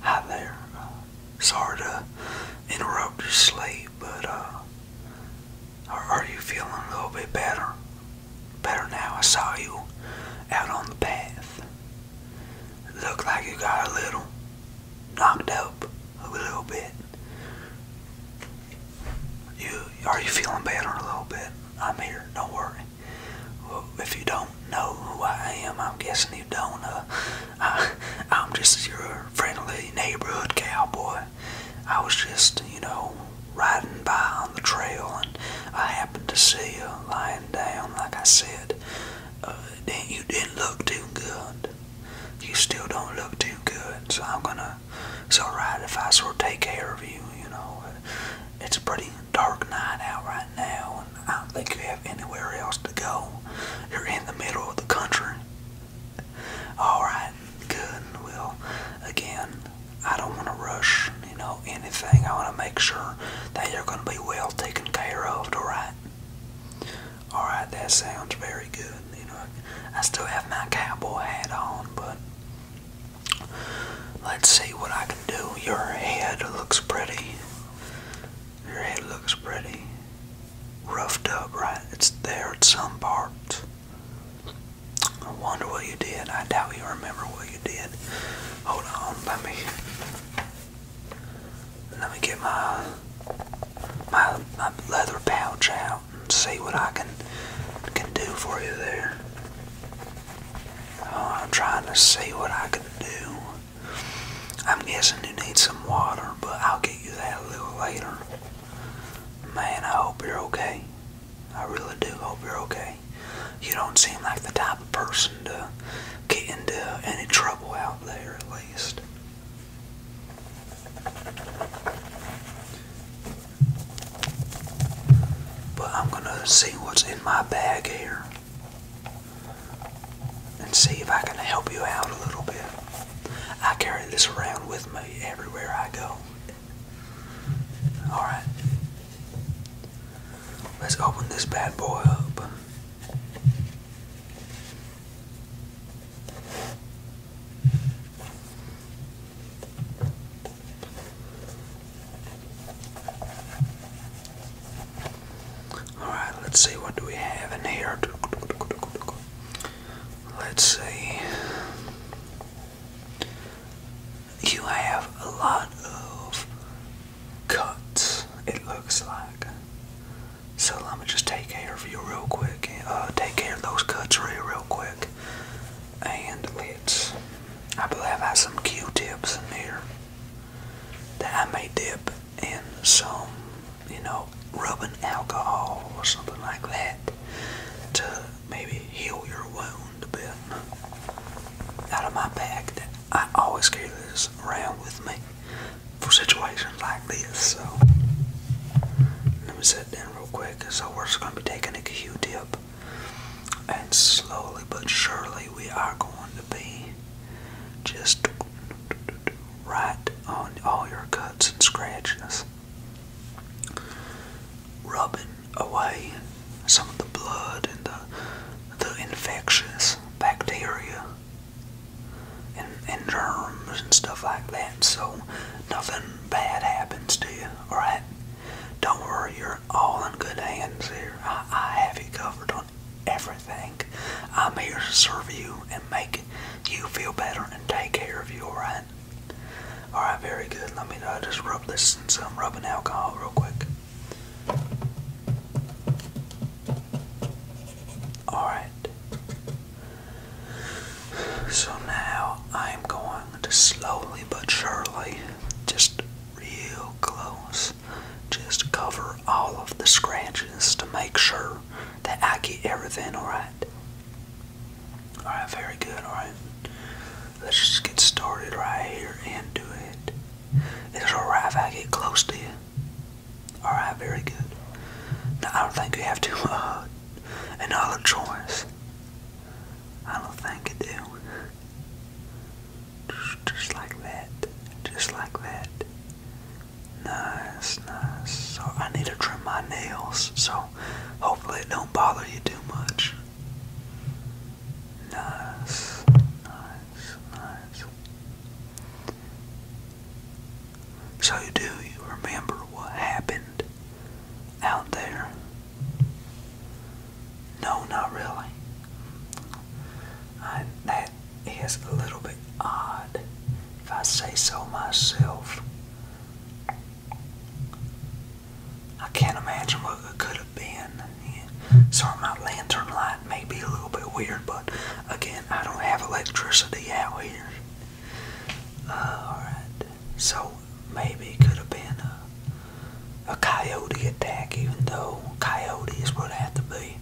hi there. Uh, sorry to interrupt your sleep, but uh, are you feeling a little bit better? Better now. I saw you out on the path. Looked like you got a little knocked up a little bit. You are you feeling better a little bit? I'm here. Don't worry. if you don't know who I am, I'm guessing you don't. Uh, I, am just your friendly neighborhood cowboy. I was just, you know, riding by on the trail, and I happened to see you lying down. Like I said, uh, you didn't look too good. You still don't look too good, so I'm gonna it's alright if I sort of take care of you, you know. It's a pretty dark night out right now, and I don't think you have anywhere else to go. You're in the middle of the country. Alright, good. Well, again, I don't want to rush, you know, anything. I want to make sure that you're going to be well taken care of, alright? Alright, that sounds very good. You know, I still have my cowboy hat on, but let's see what I can do. Your head looks pretty. Your head looks pretty roughed up, right? It's there at some parts. I wonder what you did. I doubt you remember what you did. Hold on, let me let me get my my leather pouch out see what I can can do for you there. Uh, I'm trying to see what I can do. I'm guessing you need some water, but I'll get you that a little later. Man, I hope you're okay. I really do hope you're okay. You don't seem like the type of person to get into any trouble out there, at least. But I'm gonna see what's in my bag here and see if I can help you out a little bit. I carry this around with me everywhere I go. Alright. Let's open this bad boy up. Alright, let's see what do we have in here. Let's see. You have a lot of cuts, it looks like. So let me just take care of you real quick. Uh, take care of those cuts real, real quick. And I believe I have some Q-tips in here that I may dip in some, you know, rubbing alcohol or something like that to maybe heal your wound a bit. Out of my bag, that I always carry this around with me for situations like this. So let me sit down real quick. So we're just gonna be taking a Q-tip, and slowly but surely we are going to be just right on all your cuts and scratches, rubbing away some of the blood and the the infectious bacteria and, germs and stuff like that. So nothing bad happens to you, alright? Don't worry, you're all in good hands here. I, have you covered on everything. I'm here to serve you and make you feel better and take care of you, alright? Alright, very good. Let me uh, just rub this in some rubbing alcohol real quick. Alright. So now I'm going to slowly but surely, just real close, just cover all of the scratches to make sure that I get everything alright. Alright, very good, alright. Let's just get started right here and do it. It's alright if I get close to you. All right, very good. Now, I don't think you have to uh, another choice. I don't think you do. Just like that. Just like that. Nice, nice. So I need to trim my nails, so hopefully it don't bother you too much. Nice, nice, nice. So, do you remember what happened out there? No, not really. that is a little bit odd, if I say so myself. I can't imagine what it could have been. Sorry, my lantern light that may be a little bit weird, but again, I don't have electricity out here. Uh, alright, so maybe it could have been a, a coyote attack, even though coyotes would have to be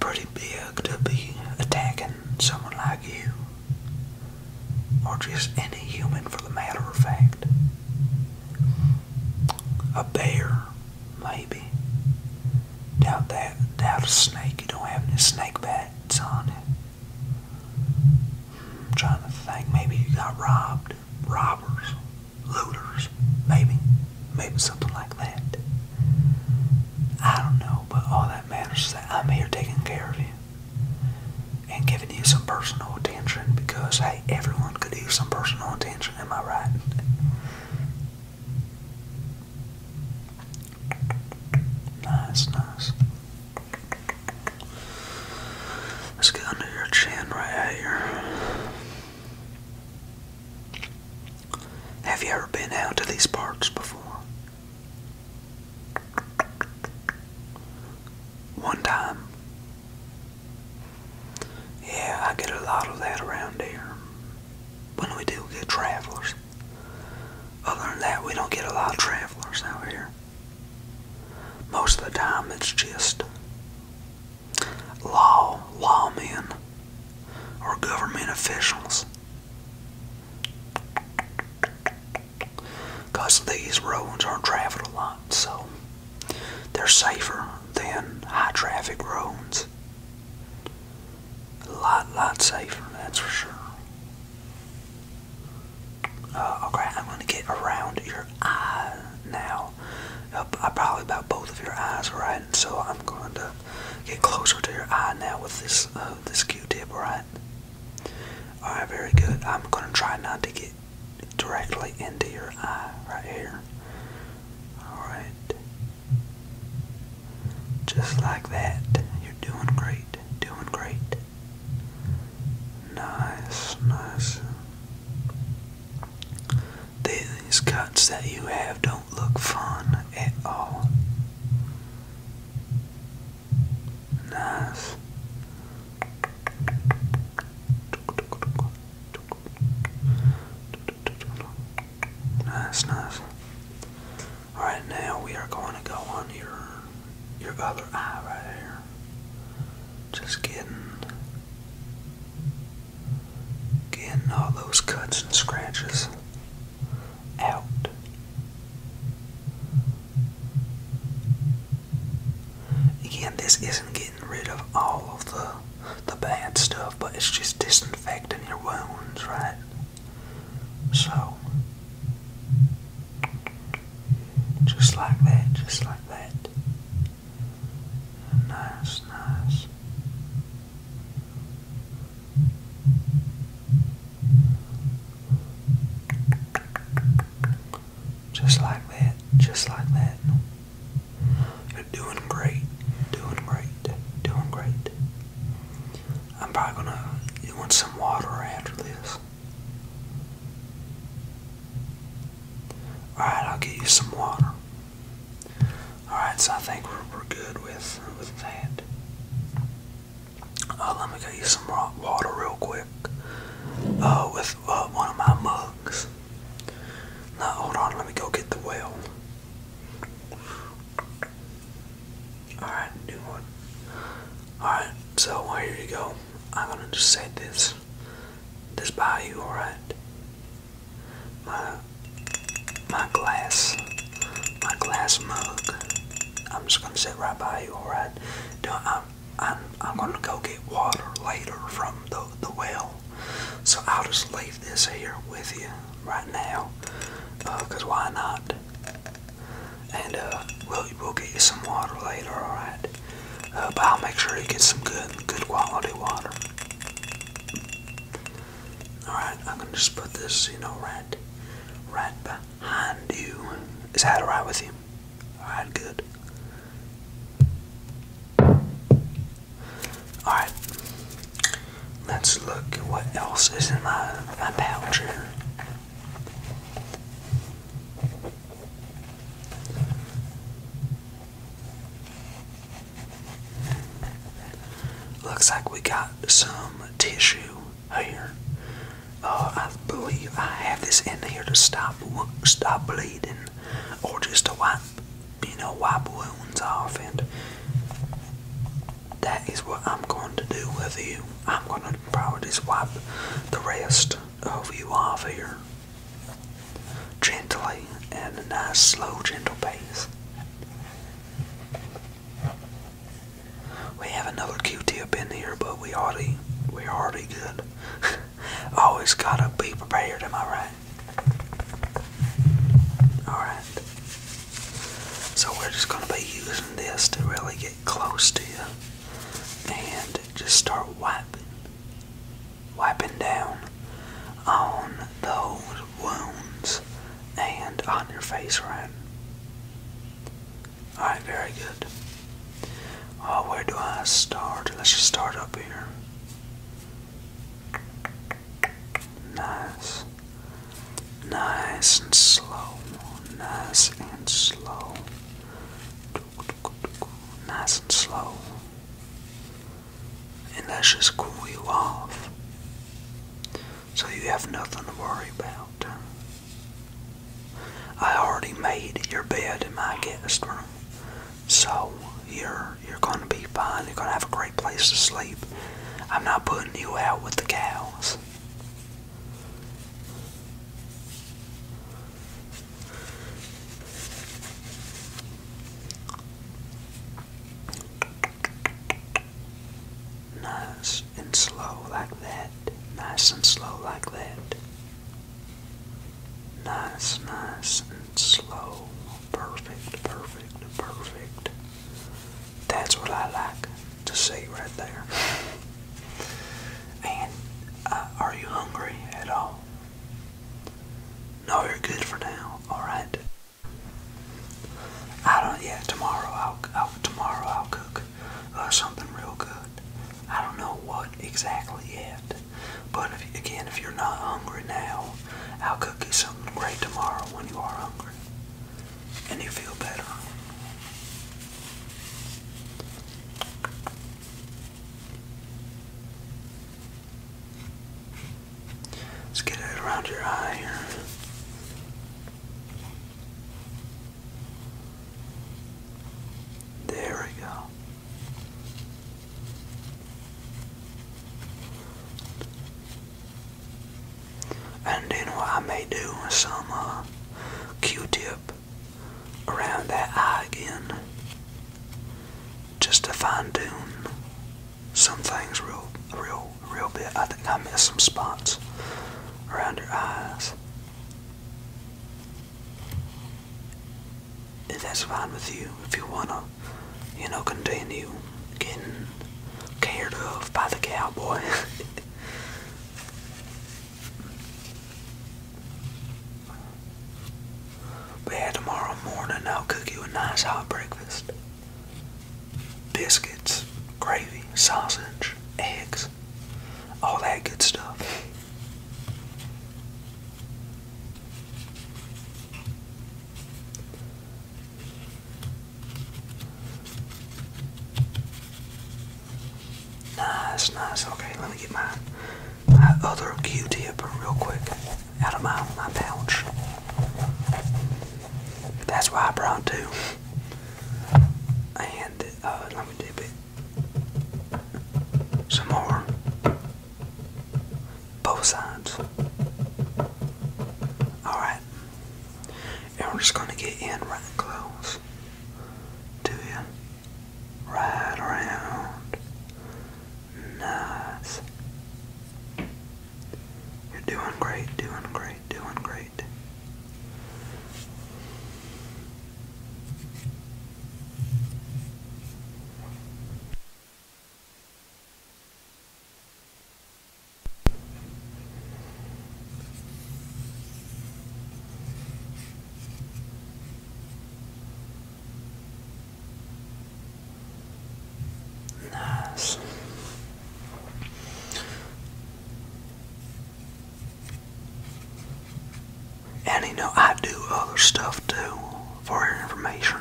pretty big to be attacking someone like you. Or just any human for the matter of fact. A bear Maybe. Doubt that. Doubt a snake. You don't have any snake bats on it. I'm hmm, trying to think. Maybe you got robbed. Robbers. Looters. Maybe. Maybe something like that. I don't know, but all that matters is that I'm here taking care of you and giving you some personal attention because, hey, everyone could use some personal attention, am I right? Nice, nice. Let's get under your chin right here. Have you ever been out to these parks before? One time. Yeah, I get a lot of that around here. When we do get travelers. Other than that, we don't get a lot of travelers out here. Most of the time, it's just law, lawmen, or government officials. Because these roads are not traveled a lot, so they're safer than high traffic roads. A lot, lot safer, that's for sure. Uh, okay, I'm going to get around your eye now. I probably about both of your eyes, right? So I'm going to get closer to your eye now with this uh, this Q-tip, right? All right, very good. I'm going to try not to get directly into your eye right here. Alright. Just like that. You're doing great. Doing great. Nice, nice. These cuts that you have don't look fun at all. Nice. Nice, nice. Alright, now we are going to go on your your other eye right here. Just getting getting all those cuts and scratches out. Again, this isn't getting rid of all of the the bad stuff, but it's just disinfecting your wounds, right? So just like that, just like that. Nice, nice. Just like that. Just like that. You're doing great. Doing great. Doing great. I'm probably gonna. You want some water after this? Alright, I'll get you some water. Alright, so I think we're, we're good with, with that. Uh, let me get you some raw water real quick. Uh, with uh, one of my mugs. Now, hold on, let me go get the whale. Alright, do one. Alright, so here you go. I'm gonna just say this. This by you, alright? My my glass. My glass mug. I'm just gonna sit right by you, alright? Don't I'm I'm, gonna go get water later from the, the well. So I'll just leave this here with you right now, uh, cause why not? And uh, we'll we'll get you some water later, alright? Uh, but I'll make sure you get some good good quality water. Alright, I'm gonna just put this, you know, right right behind you. Is that alright with you? Alright, good. Alright, let's look at what else is in my, my pouch here. Looks like we got some tissue here. Oh, I believe I have this in here to stop stop bleeding, or just to wipe, you know, wipe wounds off, and that is what I'm going to do with you. I'm going to probably just wipe the rest of you off here, gently, and a nice, slow, gentle pace. We have another Q-tip in here, but we already we already good. Always gotta be prepared, am I right? Alright. So we're just gonna be using this to really get close to you. And just start wiping. Wiping down on those wounds and on your face, right? Alright, very good. Oh, where do I start? Let's just start up here. Nice. Nice and slow. Nice and slow. Nice and slow. And let's just cool you off. So you have nothing to worry about. I already made your bed in my guest room. So you're you're gonna be fine. You're gonna have a great place to sleep. I'm not putting you out with the cows. Nice and slow like that. Nice and slow like that. Nice, nice and slow. Perfect, perfect, perfect. That's what I like to see right there. And uh, are you hungry at all? No, you're good for now. All right. I don't. Yeah, tomorrow I'll tomorrow I'll cook something real good. I don't know what exactly yet, but again, if you're not hungry now, I'll cook you something great tomorrow when you are hungry and you feel better. Let's get it around your eye here. There we go. And then what I may do some uh, Q-tip around that eye again, just to fine tune some things real, real real bit. I think I missed some spots around your eyes. If that's fine with you, if you wanna, you know, continue getting cared of by the cowboy. but tomorrow morning I'll cook you a nice hot breakfast biscuits, gravy, sausage, eggs, all that good stuff. Nice, nice. Okay, let me get my my other Q-tip real quick out of my my pouch. That's why I brought two and uh, let me dip it some more. Both sides. Alright. And we're just going to get in right close to you. Right around. Nice. You're doing great, doing great, doing great. Nice. And you know, I do other stuff too for information.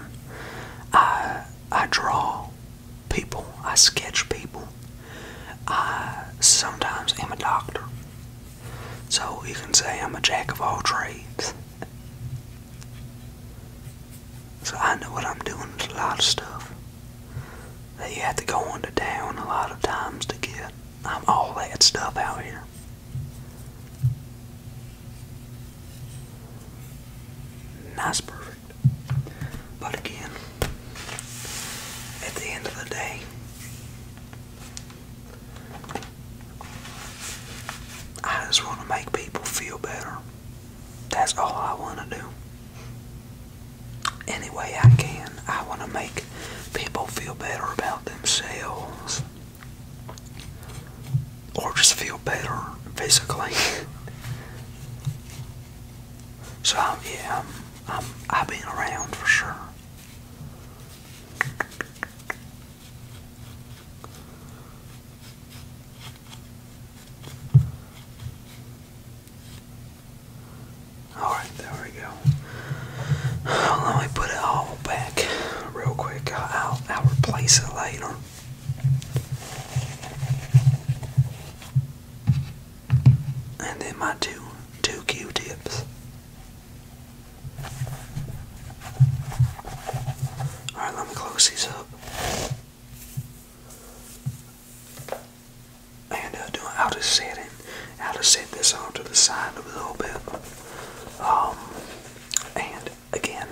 I I draw people, I sketch people. I sometimes am a doctor. So you can say I'm a jack of all trades. So I know what I'm doing is a lot of stuff that you have to go into town a lot of times to get um, all that stuff out here. That's perfect. But again, at the end of the day, I just want to make people feel better. That's all I want to do. Any way I can, I want to make people feel better about themselves. Or just feel better physically. so, yeah, I'm, I'm, I've been around for sure. Alright, there we go. Let me put it all back real quick. I'll, I'll replace it later. And then my two two Q-tips. Alright, let me close these up. And uh, I'll just set it. i to set this onto the side a little bit. Um, and again,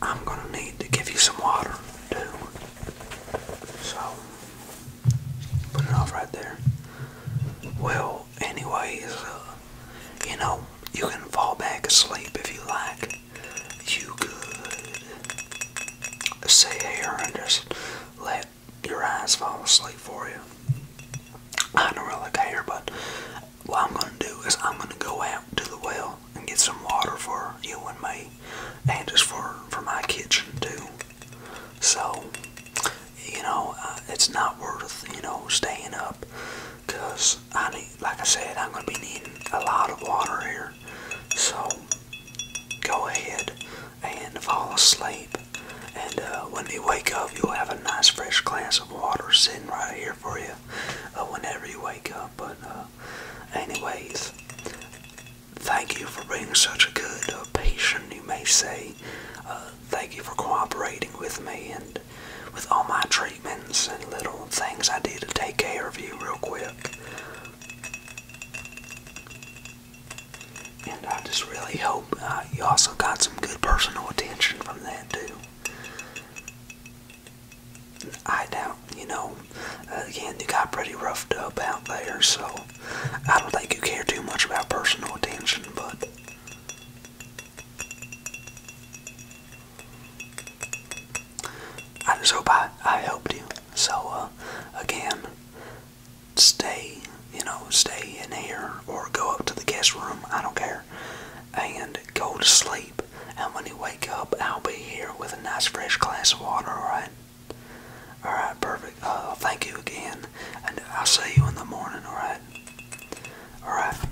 I'm gonna need to give you some water too. So put it off right there. Well, anyways, uh, you know you can fall back asleep if you like you could sit here and just let your eyes fall asleep for you. I don't really care, but what I'm going to do is I'm going to go out to the well and get some water for you and me, and just for, for my kitchen too. So, you know, uh, it's not worth, you know, staying up because I need, like I said, I'm going to be needing a lot of water here. So go ahead and fall asleep. And uh, when you wake up, you'll have a nice fresh glass of water sitting right here for you uh, whenever you wake up. But, uh, anyways, thank you for being such a good patient, you may say. thank you for cooperating with me. and with all my treatments and little things I do to take care of you real quick. And I just really hope uh, you also got some good personal attention from that too. I doubt, you know, again, you got pretty roughed up out there, so I don't think you care too much about personal attention, but I just hope I, I helped you. So, uh, again, stay, you know, stay in here or go up to the guest room, I don't care, and go to sleep. And when you wake up, I'll be here with a nice fresh glass of water, alright? Alright, perfect. Uh, thank you again, and I'll see you in the morning, alright? Alright.